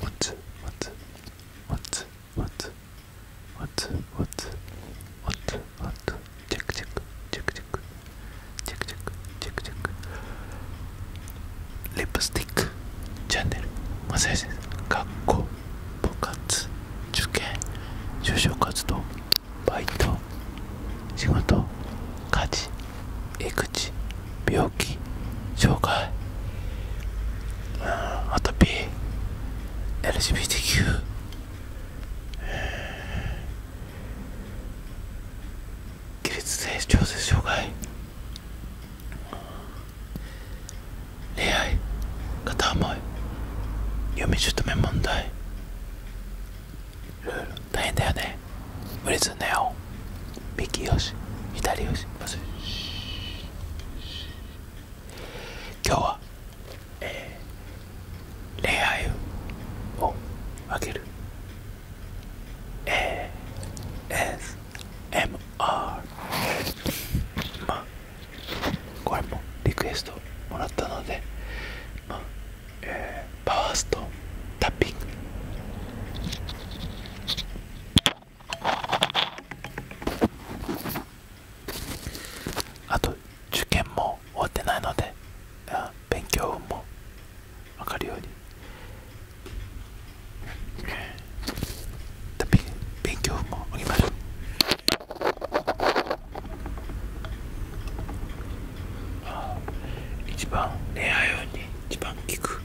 What? What? What? What? What? What? What? What? Check check check check check check check check. Lipstick チャンネル。マサヤ先生。学校、部活、受験、就職活動、バイト、仕事、家事。育児、病気障害アトピー LGBTQ 起立性調節障害恋愛片思い読嫁姑問題いろい大変だよねね無ズネオ。な右よし左よし今日は、えー、恋愛をあげる ASMR まあこれもリクエストもらったのでまあ、えー、パワーストタッピングあと受験も終わってないので勉強も分かるように勉強もあげましょう一番恋愛用に一番効く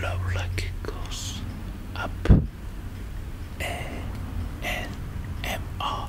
Love like it goes up. A N M R.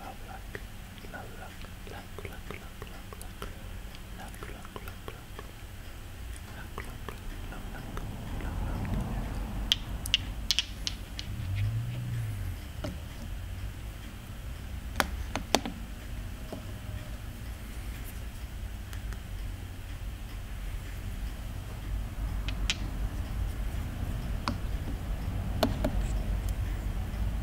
Love luck, love luck, luck, luck, luck, luck, luck, luck, luck, luck, luck, luck, luck, love luck, love luck.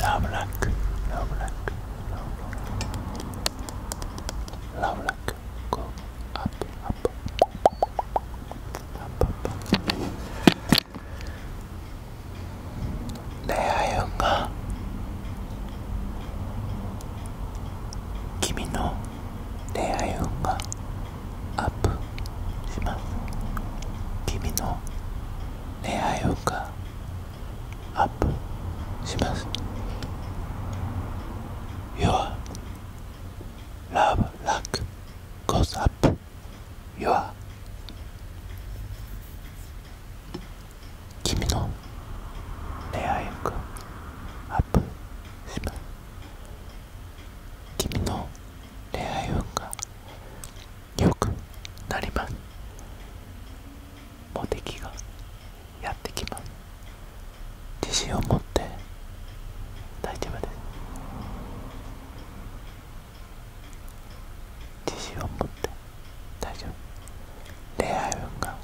ラブラックラブラックラブラックラブラックゴーアップアップアップアップ恋愛運が君の恋愛運がアップします君の恋愛運がアップします Your love luck goes up Your 君の恋愛運がアップします君の恋愛運が良くなりますモテ期がやってきます自信を持って大丈夫です自信を持って大丈夫恋愛運が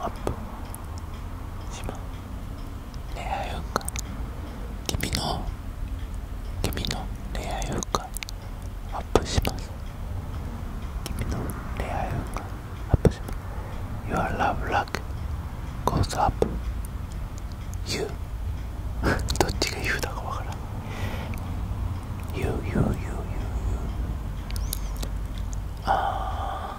アップしま恋愛運か君の君の恋愛運がアップします君の恋愛運がアップします Your love luck goes up You どっちが y うだかわからん You, you, you, you, you ああ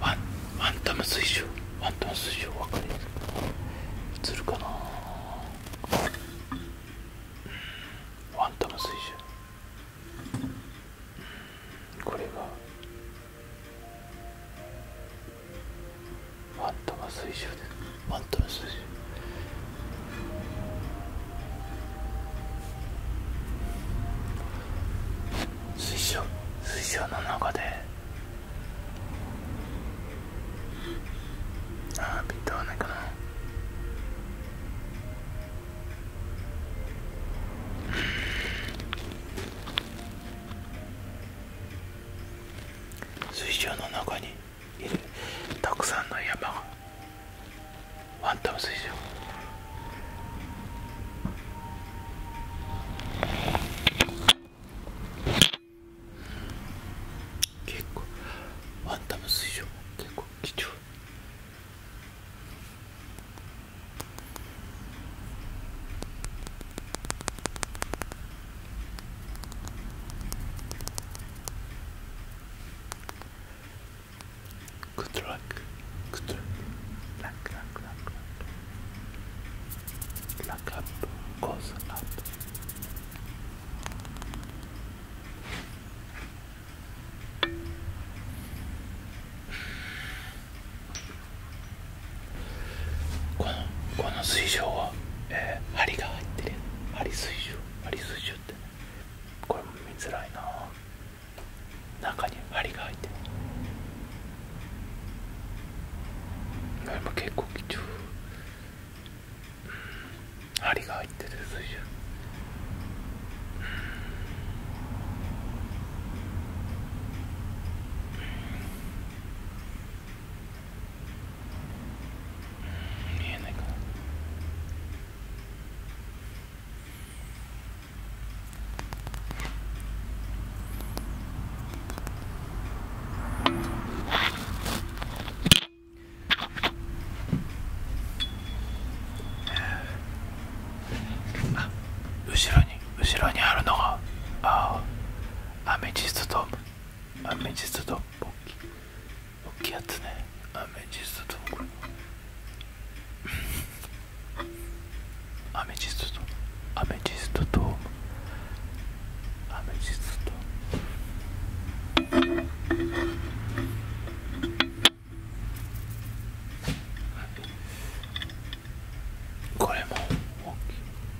ワンワンタム水晶ワンタム水晶分かりするかなワンタム水晶これがマントマ水晶でマントマ水晶水晶水晶の中でああピントはないかな水晶の中にいるたくさんの山がファントム水上結構ファントム水上結構貴重 Good luck. Good luck. Luck, luck, luck, luck. Luck up goes up. このこの水晶は、えー、針が入ってる針水晶アリスシュってこれも見づらいな中に針が入って今結構貴重針が入ってる水準見えないかなあ後ろに後ろにあるのがああアメジストとアメジストとッキ大きいやつねアメジストとこれアメジストとアメジストとアメジストこれも大きい、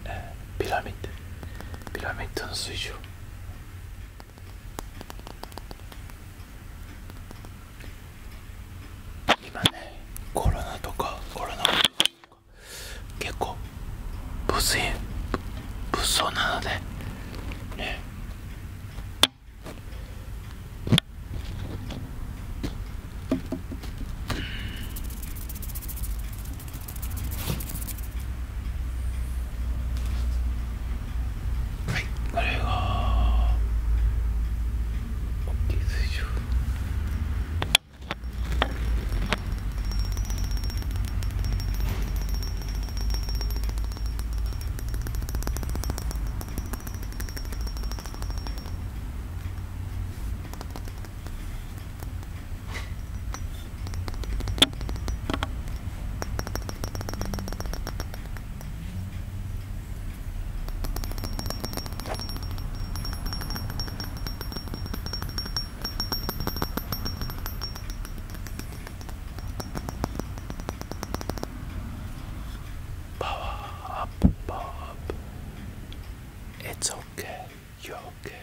えー、ピラミッドピラミッドの水晶今ねコロナとかコロナとか結構物性物騒なのでねはいこれが OK でしょ Power up, It's okay, you're okay.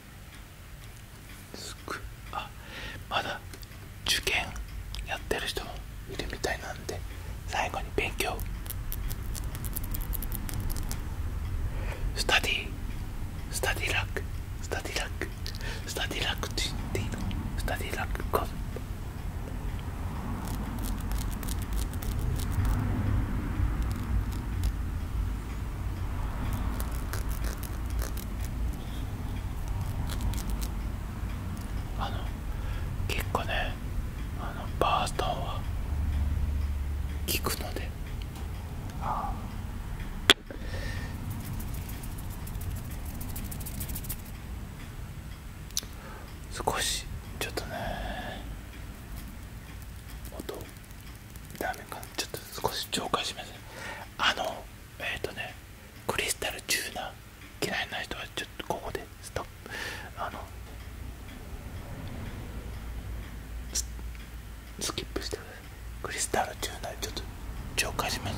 すくあまだ受験やってる人もいるみたいなんで最後に勉強スタディスタディラックスタディラックスタディラックって言っていいのスタディラックコンあの結構ねあのバーストンは効くのであ少しちょっとね音ダメかなちょっと少し浄化しますあのえっ、とねクリスタルチューナー嫌いな人はちょっとここでストップあのスキップしてクリスタルチューナーちょっと紹介します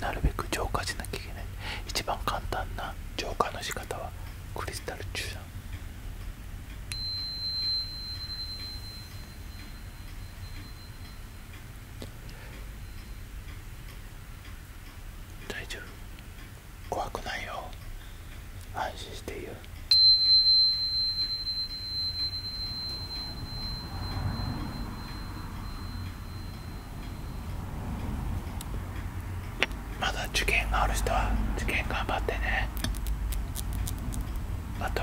なるべく浄化しなきゃいけない一番簡単な浄化の仕方はクリスタル注射大丈夫怖くないよ安心していいよまだ受験がある人は受験頑張ってねあと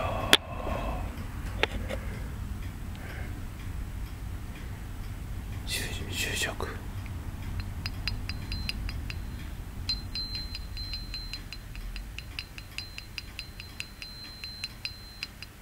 就職やだ。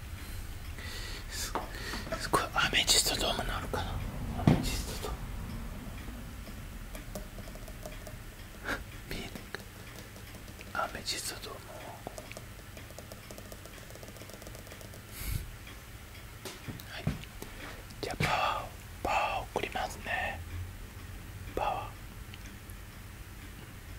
すごいアメジストドームのあるかなアメジストドーム 見えなかアメジストドームはいじゃあパワーパワー送りますねパワー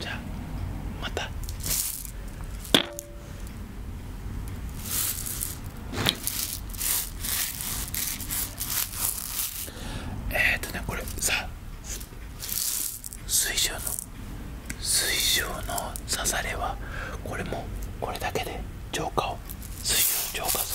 じゃあまた。えっ、とねこれさ水晶の水晶の刺されはこれもこれだけで浄化を水晶の浄化す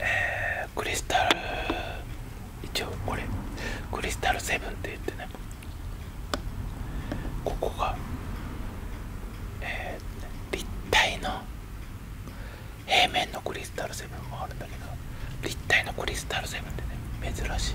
えー、クリスタル一応これクリスタルセブンって言ってねここが、えー、立体の平面のクリスタルセブンもあるんだけど立体のクリスタルセブンってね珍しい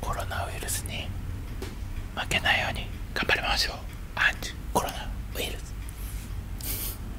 コロナウイルスに負けないように頑張りましょうアンチコロナウイルス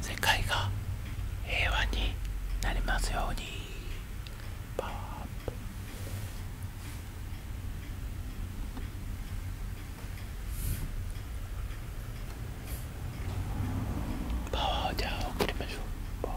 世界が平和になりますようにパワーアップパワーじゃあ送りましょうパワー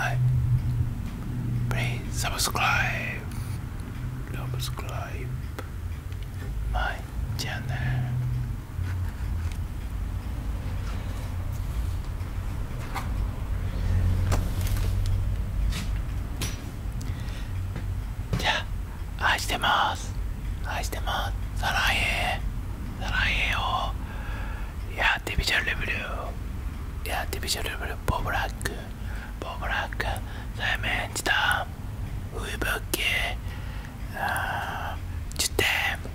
I please subscribe, subscribe my channel. じゃあ愛してます愛してますさらえ。さらえをやってビジャルレベルやってビジャルレベルボブラックボブラックサイメンチタウイブッケチュテム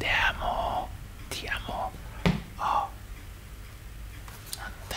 テアモティアモあなんだ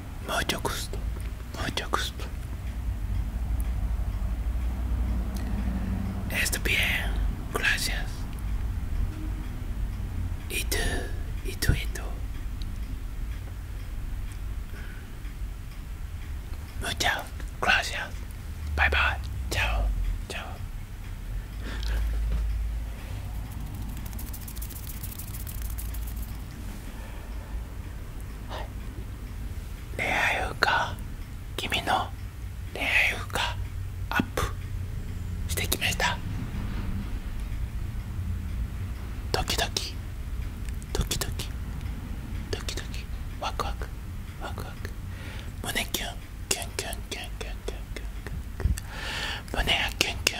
Mucho gusto, mucho gusto. Está bien, gracias. Y tú, y Muchas gracias. Bye bye. Chao, chao. はい、恋愛運が君の恋愛運がアップしてきましたドキ。ドキドキ。ワクワクワクワク胸キュンキュンキュンキュンキュンキュンキュン胸がキュンキュン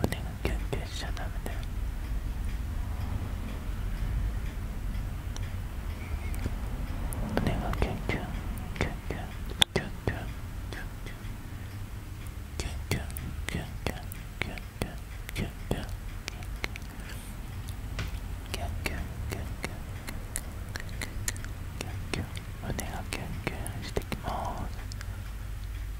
胸がキャンキュンしちゃダメがキュンキュンキュンキュンキュンキュンキュンキュンキュンキュンキュンキュンキュンキュンキュンキュンキュンキュンキュキュンキュン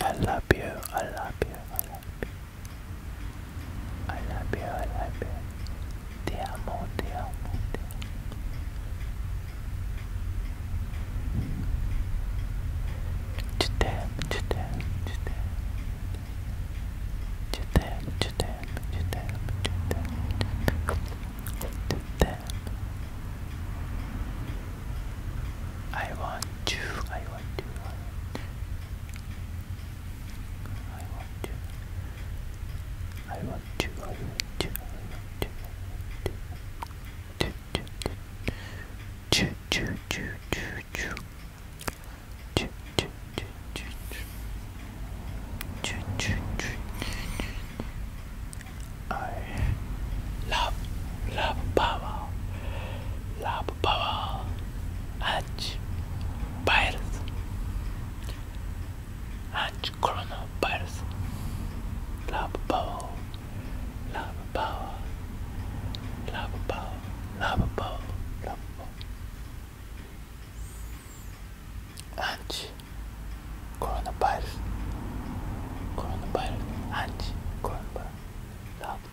I love you, I love you, I love you. I love you, I love you. Te amo, te amo, te amo. Judem, Judem, Judem. Judem, Judem, Judem, Judem. I want to, I want to, I want to. I want to. I want to. I want to. I want to. Choo choo choo choo choo. Choo choo choo choo choo. Choo choo choo. I love, love power, love power and virus and coronavirus. Love power, love power, love power, love power, love power. And Coronavirus. Coronavirus. Anti coronavirus. Love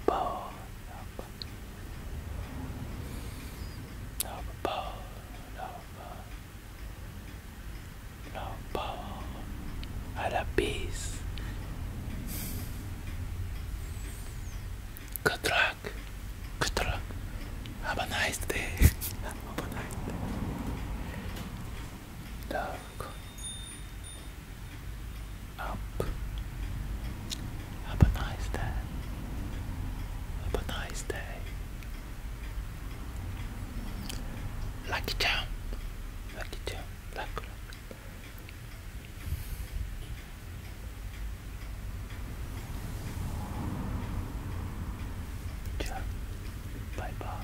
Peace. Good luck. Good luck. Have a nice day. Have a nice day look up. Have a nice day. Have a nice day. Lucky town. Lucky town. Lucky. lucky. Bye bye.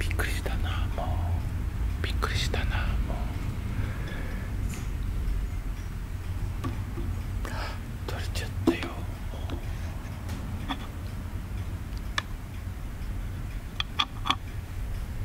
びっくりしたなもうびっくりしたなもう取れちゃったよもう。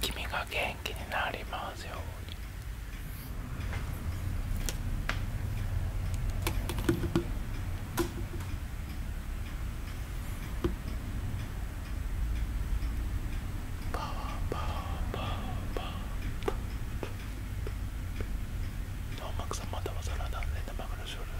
君が元気になりますように。パワーパワーパワーパワー。音楽さんまたまさら断然生の勝利